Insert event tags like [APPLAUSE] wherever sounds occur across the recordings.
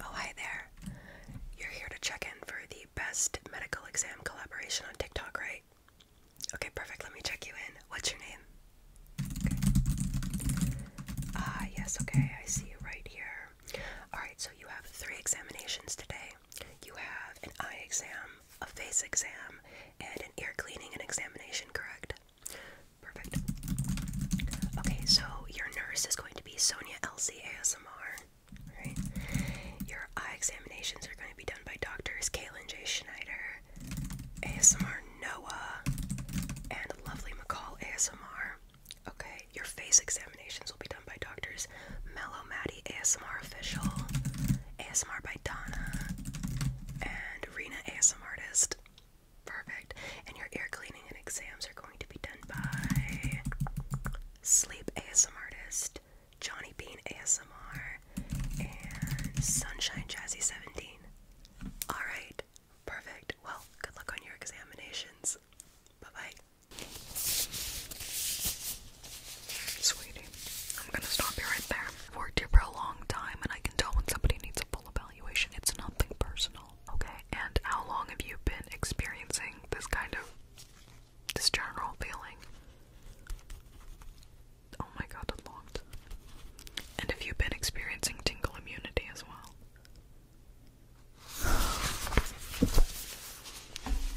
Oh, hi there. You're here to check in for the best medical exam collaboration on TikTok, right? Okay, perfect. Let me check you in. What's your name? Ah, yes, okay. I see you right here. Alright, so you have three examinations today. You have an eye exam, a face exam, and an ear cleaning and examination, correct? Perfect. Okay, so your nurse is going to be Sonia LC ASMR. Right. Your eye examinations are going to be done by doctors Kaylin J. Schneider, ASMR Noah, and Lovely McCall ASMR. Okay, your face examinations will be done by doctors Mellow Maddie ASMR Official, ASMR by Donna, and Rena ASMR Artist. Perfect. And your ear cleaning and exams are going to be done by Sleep ASMR Artist, Johnny Bean ASMR, and Sunshine Jazzy 17. Alright, perfect. Well, good luck on your examinations. Bye bye. Sweetie, I'm gonna stop you right there. worked here for a long time and I can tell when somebody needs a full about it's nothing personal, okay? And how long have you been experiencing this kind of this general feeling? Oh my god, a lot. And have you been experiencing tingling immunity as well? [SIGHS]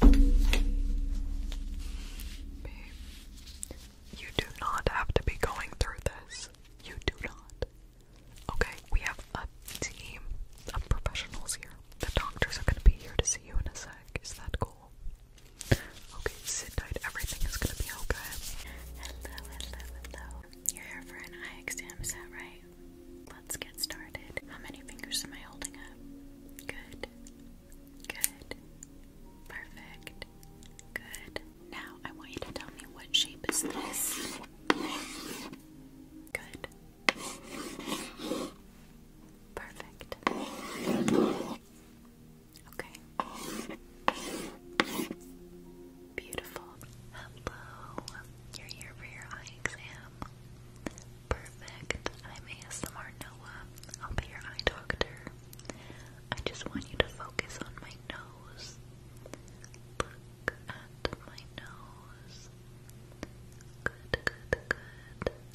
Babe, you do not have to be going through this. You do not. Okay, we have a team of professionals here. The doctors are going to be here to see you in a sec. Is that cool? Okay, sit tight. Everything is going to be okay. Hello, hello, hello. You're here for an eye exam, is that right? Let's get started. How many fingers am I holding up? Good. Good. Perfect. Good. Now I want you to tell me what shape is this? Good. Perfect. Okay. Beautiful. Hello. You're here for your eye exam. Perfect. I'm ASMR Noah. I'll be your eye doctor. I just want you to focus on my nose. Look at my nose. Good, good, good.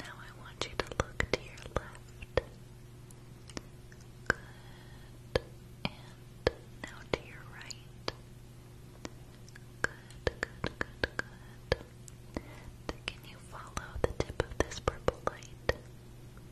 Now I want you to look to your left. Good. And now to your right. Good, good, good, good. Can you follow the tip of this purple light?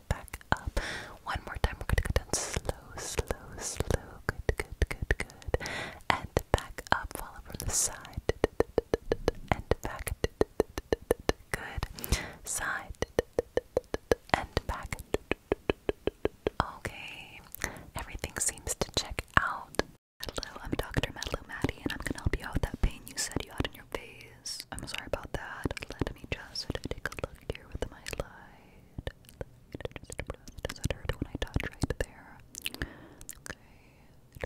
it back up. One more time. We're gonna go down slow, slow, slow. Good, good, good, good. And back up. Follow from the side. And back. Good. Side. And back. Okay. Everything seems to check out. Hello, I'm Dr. Madeleine Maddie, and I'm gonna help you out with that pain you said you had in your face. I'm sorry about that. Let me just take a look here with my light. Does it hurt when I touch right there? Okay.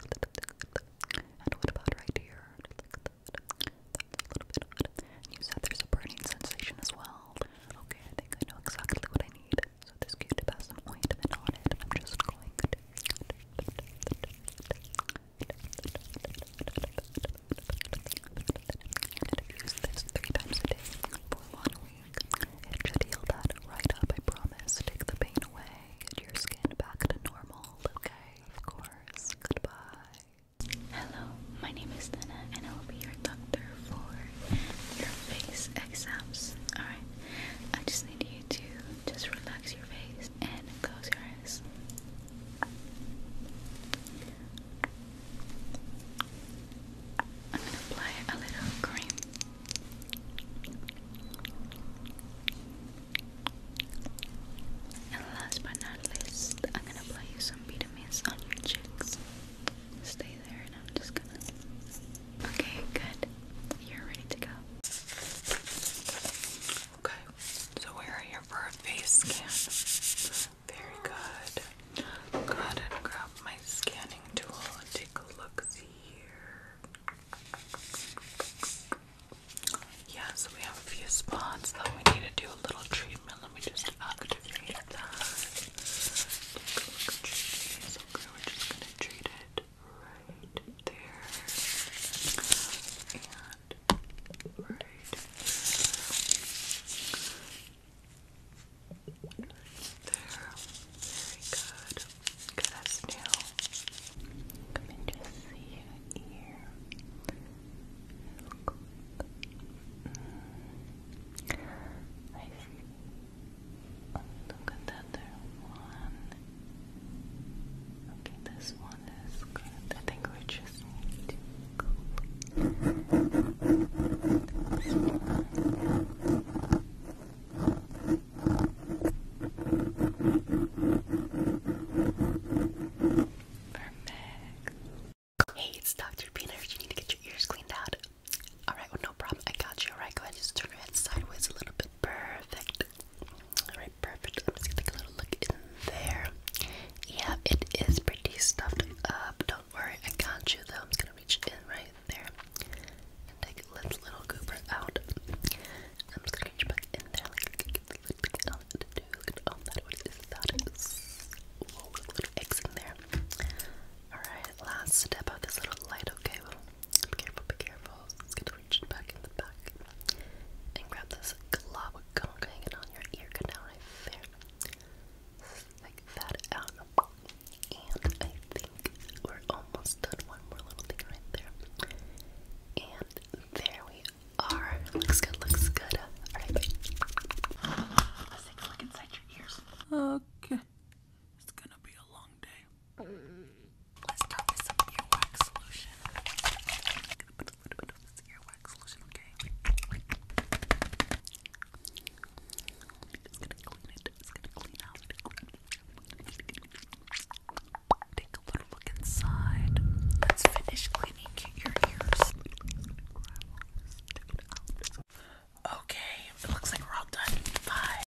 And what about right here? a little bit you said there's a burning sensation as well. Okay, I think I know exactly what I need. So this cute has some ointment on I'm just going use this three times a day for one week. It should heal that right up, I promise. Take the pain away, get your skin back to normal, okay? Of course. Goodbye. Hello, my name is Nana, and I will be your doctor for your face exams. Alright, I just need you to just relax your face and close your eyes. I'm going to apply a little cream. And last but not least, I'm going to apply you some vitamins on your cheeks. Stay there and I'm just gonna. Okay, good. You're ready to go. Okay, so we're here for a face scan. Very good. go ahead and grab my scanning tool take a look. See here. Yeah, so we have a few spots that we need to do a little treatment. Let me just activate that. Take a look at your face. Okay, we're just gonna treat it right there and right there. Very good. Okay, that's new. Come and just see your ear. Look. I see. Look at that. Okay, this one is good. Hey, it's Dr. Peanut. You need to get your ears cleaned out. Alright, no problem. I got you. Alright, go ahead. Just turn your head sideways a little bit. Perfect. Alright, perfect. I'm just gonna take a little look in there. Yeah, it is pretty stuffed up. Don't worry, I can't chew them. I'm just gonna reach in right there and take this little goober out. I'm just gonna reach back in there. Like, that to do. that. Whoa, little eggs in there. Alright, last step out this little light. Okay, be careful, be careful. It's gonna reach back in the back. And grab this glob of gunk hanging on your ear canal right there. Stick that out. And I think we're almost done. One more little thing right there. And there we are. Looks good, looks good. Alright, wait. Let's take a look inside your ears. Okay. It's gonna be a long day. Let's start with some earwax solution. I'm gonna put a little bit of this earwax solution, okay? It's gonna clean it. It's gonna clean out. Take a little look inside. Let's finish cleaning your ears. Okay, it looks like we're all done. Bye.